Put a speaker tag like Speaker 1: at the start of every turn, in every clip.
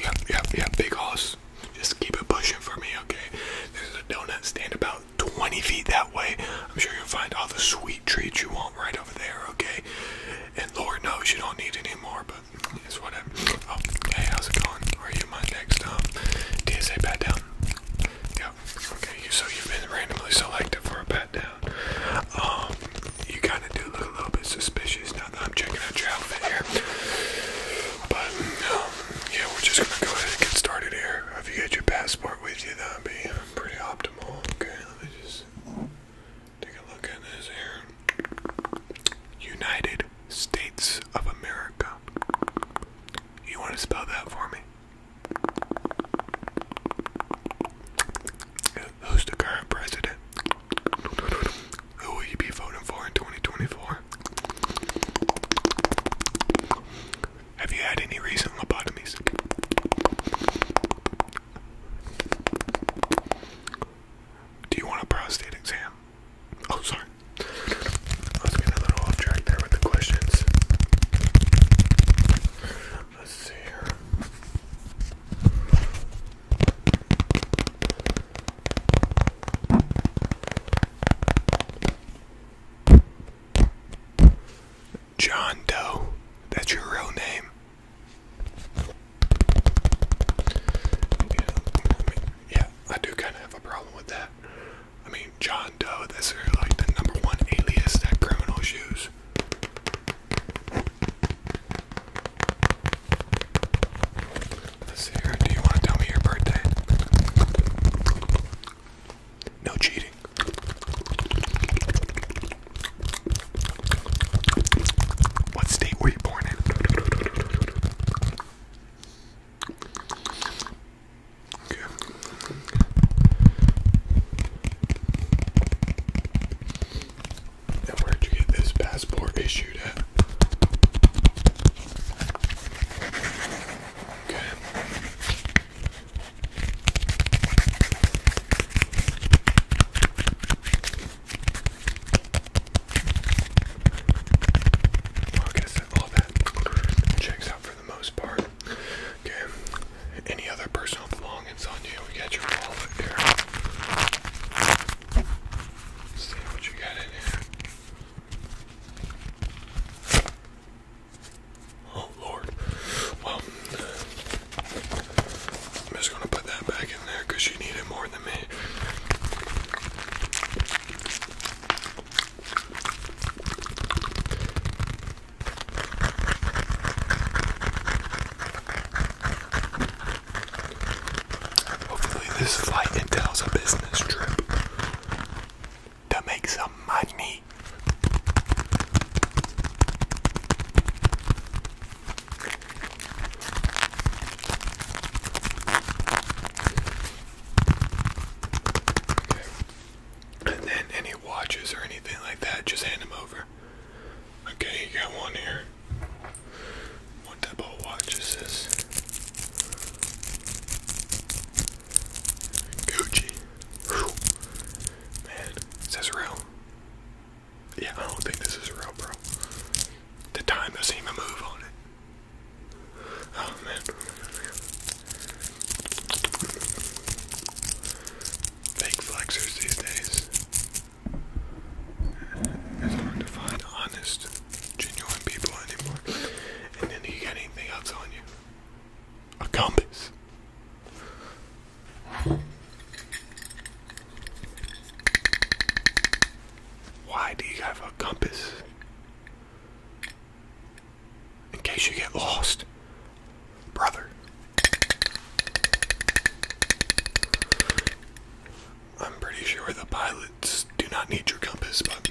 Speaker 1: Yeah, yeah, yeah, big hoss. Just keep it pushing for me, okay? There's a donut stand about 20 feet that way. I'm sure you'll find all the sweet treats you want right over there, okay? And Lord knows you don't need any more, but it's whatever. Oh, hey, how's it going? Are you my next, um, TSA pat down? Yeah, okay, so you've been randomly selected for a pat down. Um, you kind of do look a little bit suspicious now. I'm checking out your outfit here. But, um, yeah, we're just gonna go ahead and get started here. If you get your passport with you, that'd be pretty optimal. Okay, let me just take a look at this here. United States of America. You want to spell that for me? Who's the current president? Who will you be voting for in 2024? Have you had any recent lobotomies? Do you want a prostate exam? Oh, sorry. I was getting a little off track there with the questions. Let's see here. John Doe, that's your real name. Yeah, I do kind of have a problem with that. I mean, John Doe, that's like the number one alias that criminals use let Do you want to tell me your birthday? No cheating. What state were you born in? And where'd you get this passport issued at? Okay. Well, I guess that all that checks out for the most part. Okay. Any other personal belongings on you. We got your wallet here. Let's see what you got in here. Oh Lord. Well, I'm just gonna put that back in there because you need it more than me. Hopefully, this flight entails a business trip to make some money. Okay. And then any watches or anything like that, just hand them over. Okay, you got one here. What type of watch is this? Gucci. Man, is this real? Yeah, I don't think this is real, bro. The time doesn't even move on it. Oh, man. Fake flexers these days. It's hard to find honest, genuine people anymore. And then you got anything on you? A compass. Why do you have a compass? In case you get lost brother. I'm pretty sure the pilots do not need your compass, but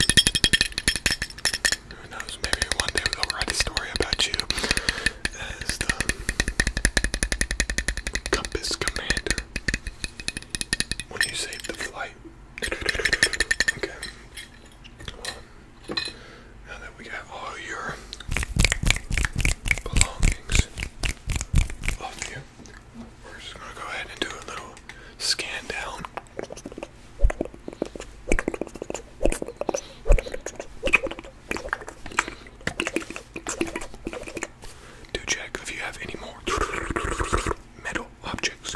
Speaker 1: who knows? Maybe one day they'll write a story about you as the compass commander when you save the flight. Okay we got all your belongings We're just gonna go ahead and do a little scan down. Do check if you have any more metal objects.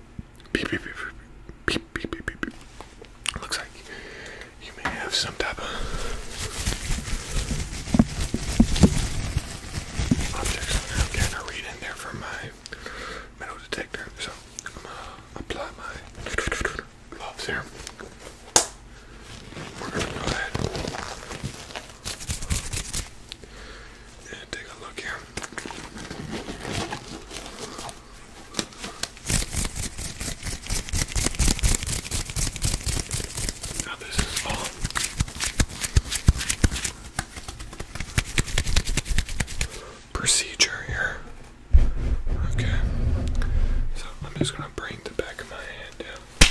Speaker 1: beep, beep, beep, beep, beep, beep, beep. Looks like you may have some type of objects I'm kind of read in there from my metal detector. So I'm gonna apply my gloves here. We're gonna go ahead take a look here. Now this is all. Procedure here. Okay. So I'm just gonna bring the back of my hand down.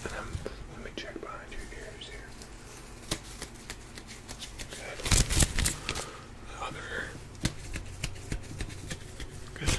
Speaker 1: And then let me check behind your ears here. Good. The other ear. Good. Good.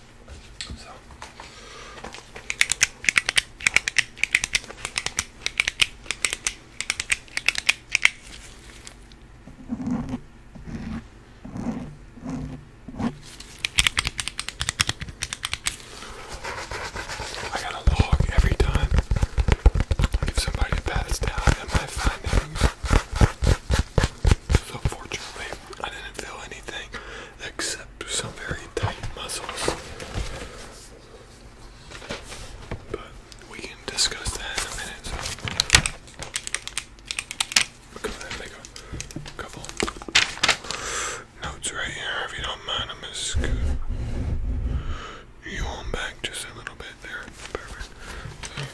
Speaker 1: I got a log every time somebody a pass down in my So fortunately, I didn't feel anything except some very tight muscles. But we can discuss that in a minute. couple notes right here, if you don't mind. I'm gonna you on back just a little bit there. Perfect.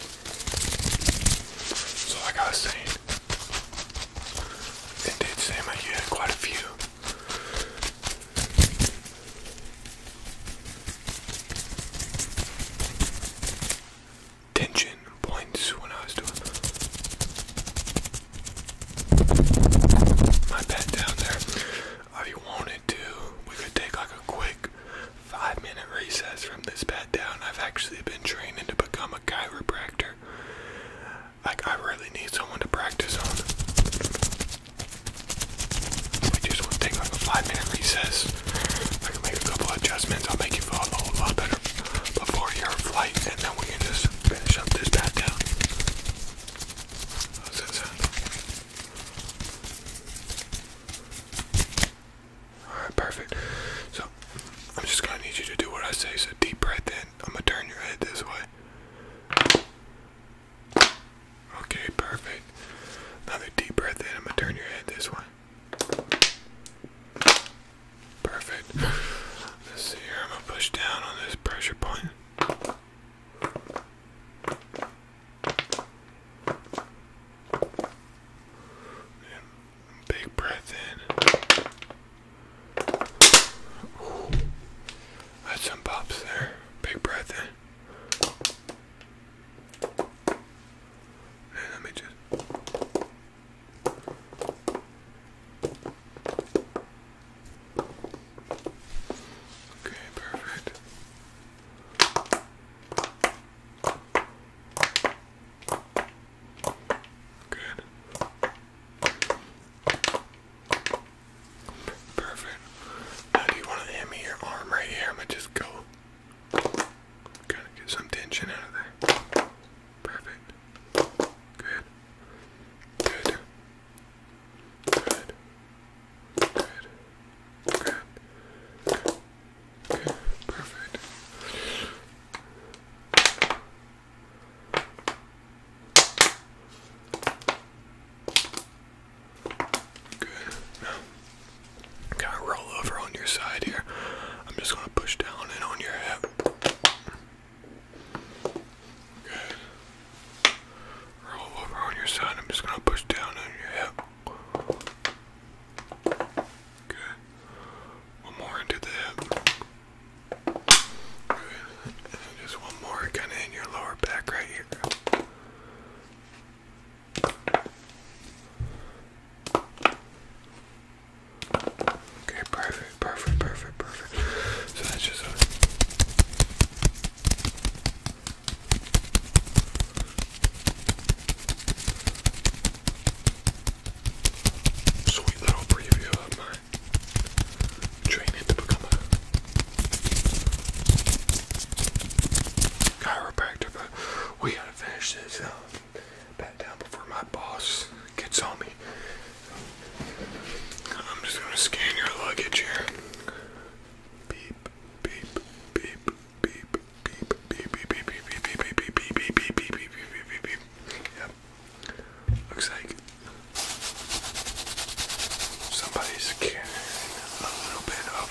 Speaker 1: So like I was saying, it did seem you had quite a few. Tension points when I was doing my bed down there. If you wanted to, we could take like a quick five minute recess from this pat down. I've actually been training to become a chiropractor. Like, I really need someone to practice on. We just want to take like a five minute recess. I can make a couple adjustments. I'll make you feel a whole lot better before your flight, and then we can just finish up this pat down. How's that sound? Alright, perfect. So, I'm just gonna need you to do what I say. So, deep breath in. I'm gonna turn your head this way. Okay, perfect. Another deep breath in. I'm gonna turn your head this way. Perfect. Let's see here. I'm gonna push down on this pressure point big breath in. That's some pops there. Big breath in. let me just. Okay, perfect. Good. Perfect. Now, do you want to hand me your arm right here? I'm gonna just go. Kind of get some tension out of there. Perfect. Good. Good. Good. Good. Good. Okay, perfect. Good. kind of roll over on your side here. I'm just going to push down and on your hip. Good. Roll over on your side. I'm just going to push down on your hip. Good. One more into the hip. Good. Just one more kind of in your lower back right here. Okay, perfect, perfect, perfect, perfect. So that's just a Sweet little preview of my training to become a chiropractor, but we gotta finish this up. Um, back down before my boss gets on me. I'm just gonna scan your luggage here. Beep, beep, beep beep, beep, beep, beep, beep, beep, beep, beep, beep, beep, beep, beep, beep, beep, beep. Yep. Looks like somebody's carrying a little bit of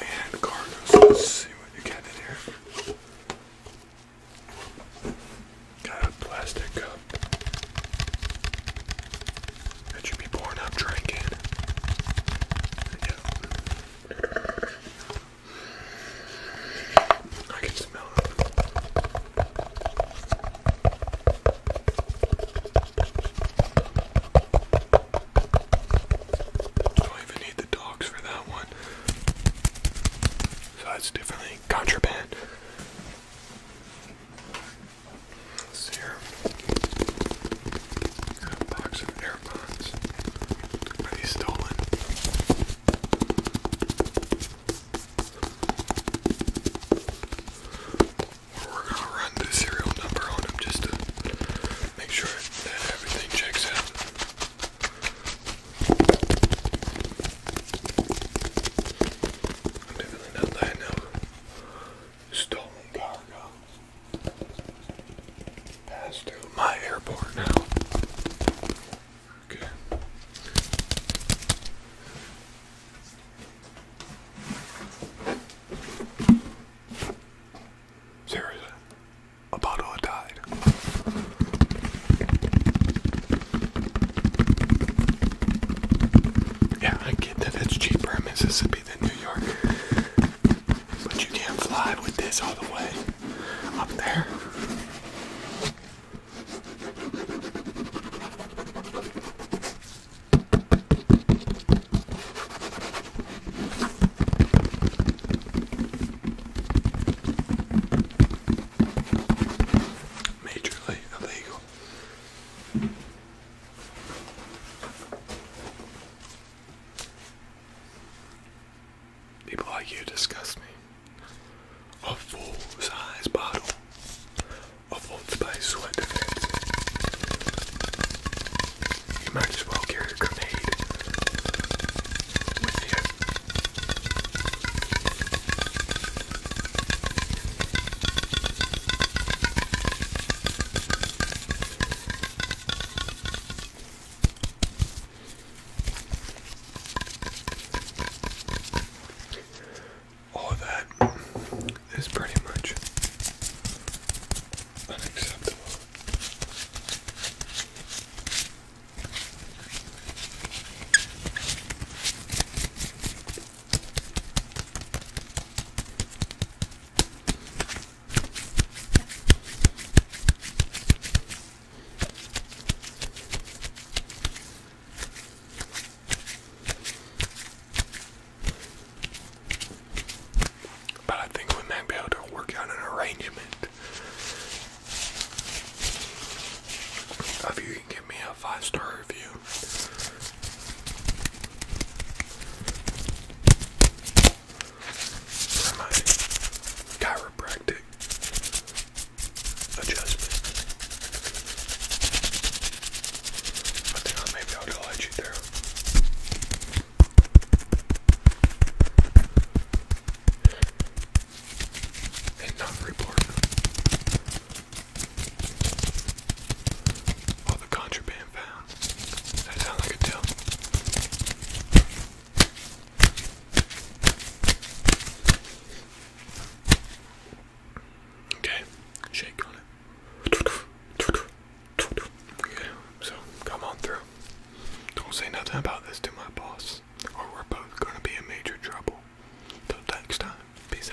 Speaker 1: band cargo. So let's see what you get in here. Got a plastic cup that be born up drinking. I can smell it. Don't even need the dogs for that one. So that's definitely contraband. Let's see here. Got a box of AirPods. Are these stolen? We're gonna run the serial number on them just to make sure that everything checks out. definitely not lying now stolen cargo passed through my airport now. Okay. Seriously, a bottle of Tide. Yeah, I get that it's cheaper in Mississippi the New York. But you can't fly with this all the way up there. Majorly illegal. People like you disgust me. A full size bottle of Old Spice sweat You might as well carry a grenade with you. All of that is pretty much unacceptable. But I think we might be able to work out an arrangement. If you can give me a five star review for my chiropractic adjustment. I think I maybe I'll glide you there. And not report. All the contraband found. Does that sound like a tell? Okay, shake on it. Okay, so come on through. Don't say nothing about this to my boss, or we're both gonna be in major trouble. Till next time, peace out.